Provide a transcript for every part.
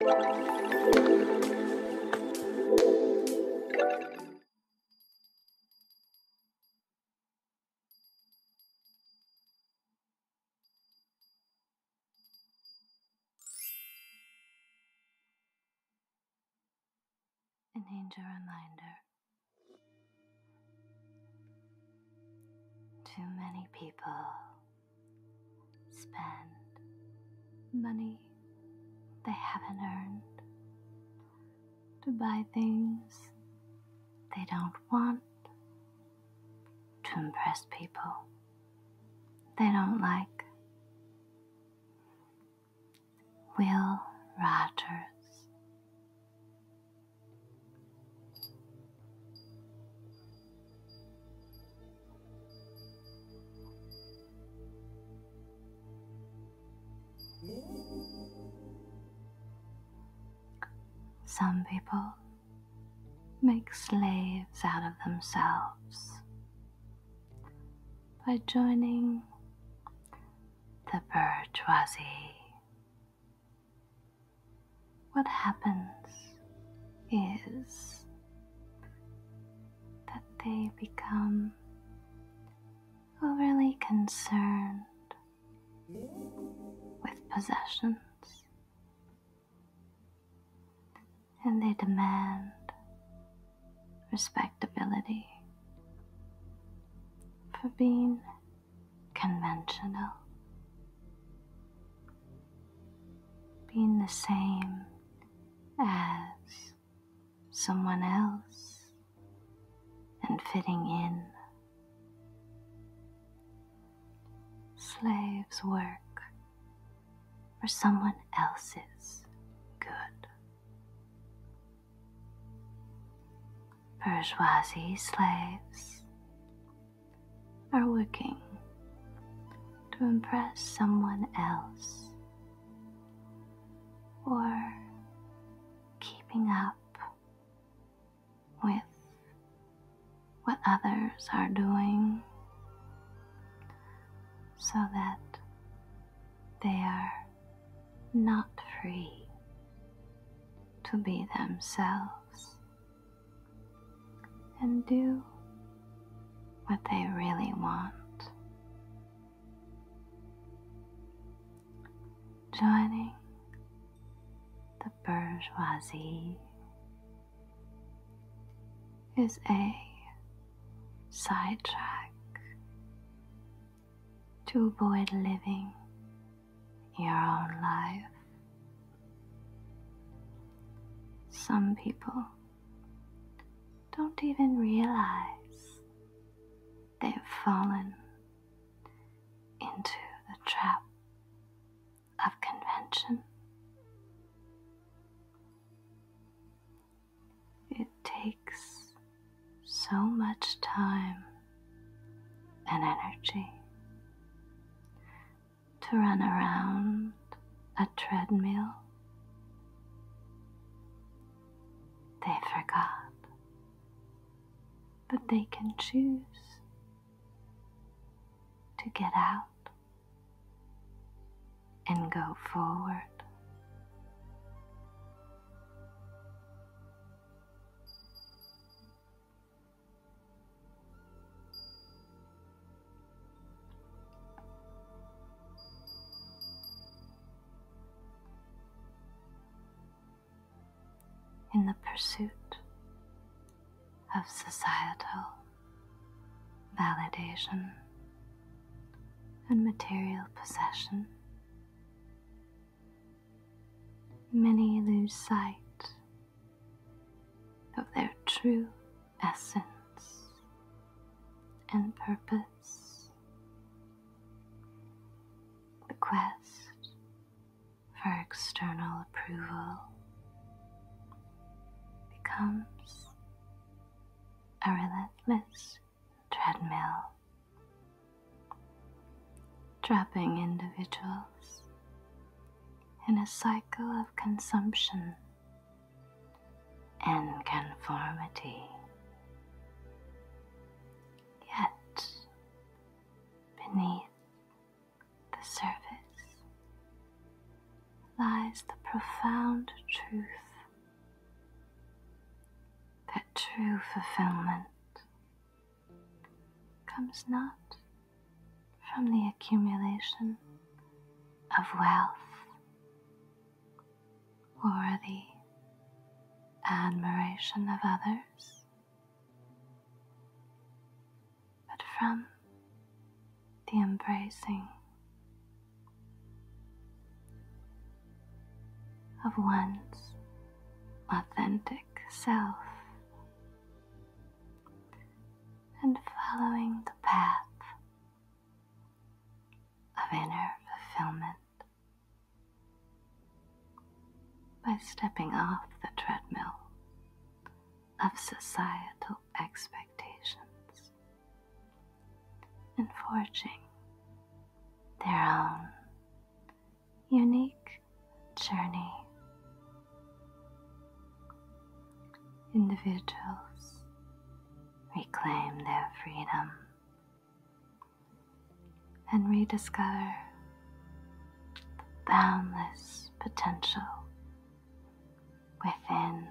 An angel reminder. Too many people spend money they haven't earned, to buy things they don't want, to impress people they don't like. Will Rogers. Some people make slaves out of themselves by joining the bourgeoisie what happens is that they become overly concerned with possessions and they demand respectability for being conventional being the same as someone else and fitting in. Slaves work for someone else's good. Bourgeoisie slaves are working to impress someone else or keeping up with what others are doing so that they are not free to be themselves and do what they really want. Joining the bourgeoisie is a sidetrack to avoid living your own life. Some people don't even realize they've fallen into the trap of convention. It takes so much time an energy to run around a treadmill. They forgot, but they can choose to get out and go forward in the pursuit of societal validation and material possession, Many lose sight of their true essence and purpose. The quest for external approval becomes a relentless treadmill trapping individuals in a cycle of consumption and conformity. Yet, beneath the surface lies the profound truth that true fulfillment comes not from the accumulation of wealth or the admiration of others, but from the embracing of one's authentic self and following the path of inner fulfillment by stepping off the treadmill of societal expectations and forging their own unique journey. Individuals reclaim their freedom and rediscover the boundless potential within.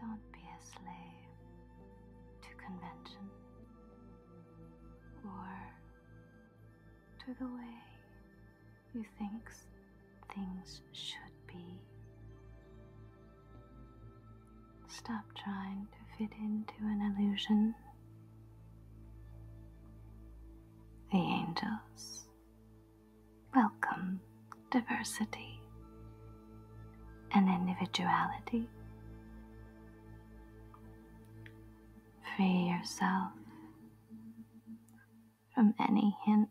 Don't be a slave to convention or to the way you think things should be. Stop trying to fit into an illusion. The angels Welcome diversity and individuality. Free yourself from any hint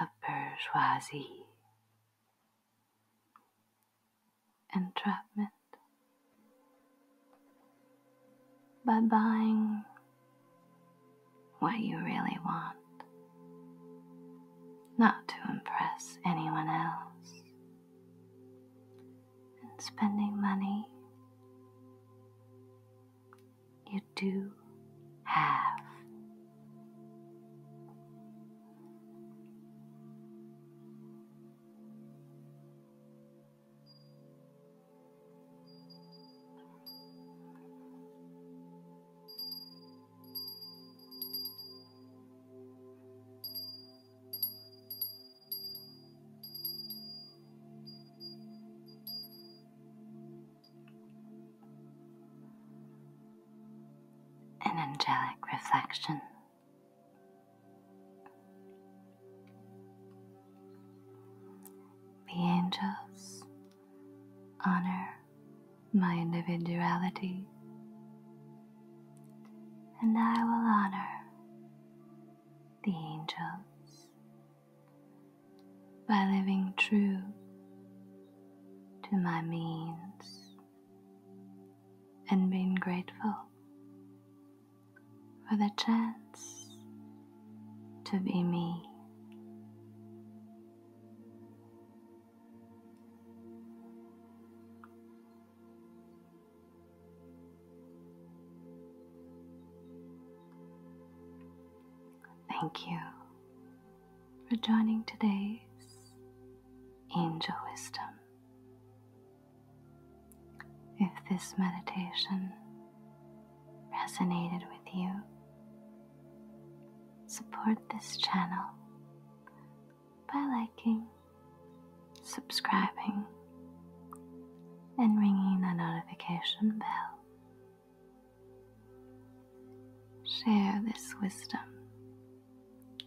of bourgeoisie entrapment by buying what you really want, not to impress anyone else. And spending money, you do have. An angelic reflection. The angels honor my individuality, and I will honor the angels by living true to my means and being grateful for the chance to be me. Thank you for joining today's Angel Wisdom. If this meditation resonated with you, support this channel by liking, subscribing, and ringing the notification bell. Share this wisdom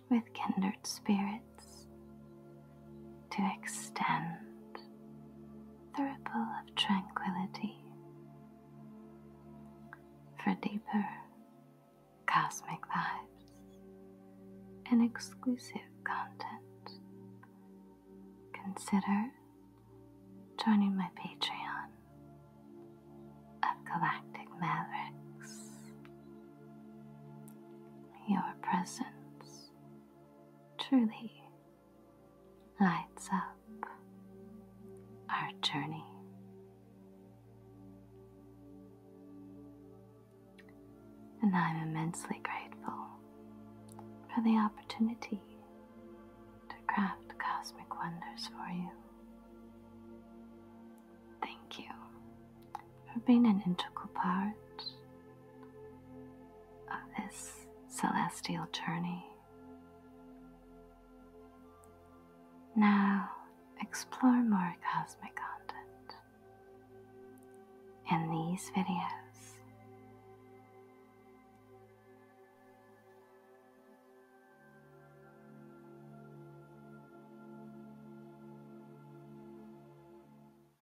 with kindred spirits to extend the ripple of tranquility for deeper cosmic vibes and exclusive content. Consider joining my Patreon of Galactic Mavericks. Your presence truly lights up our journey. And I'm immensely grateful for the opportunity to craft cosmic wonders for you. Thank you for being an integral part of this celestial journey. Now explore more cosmic content in these videos.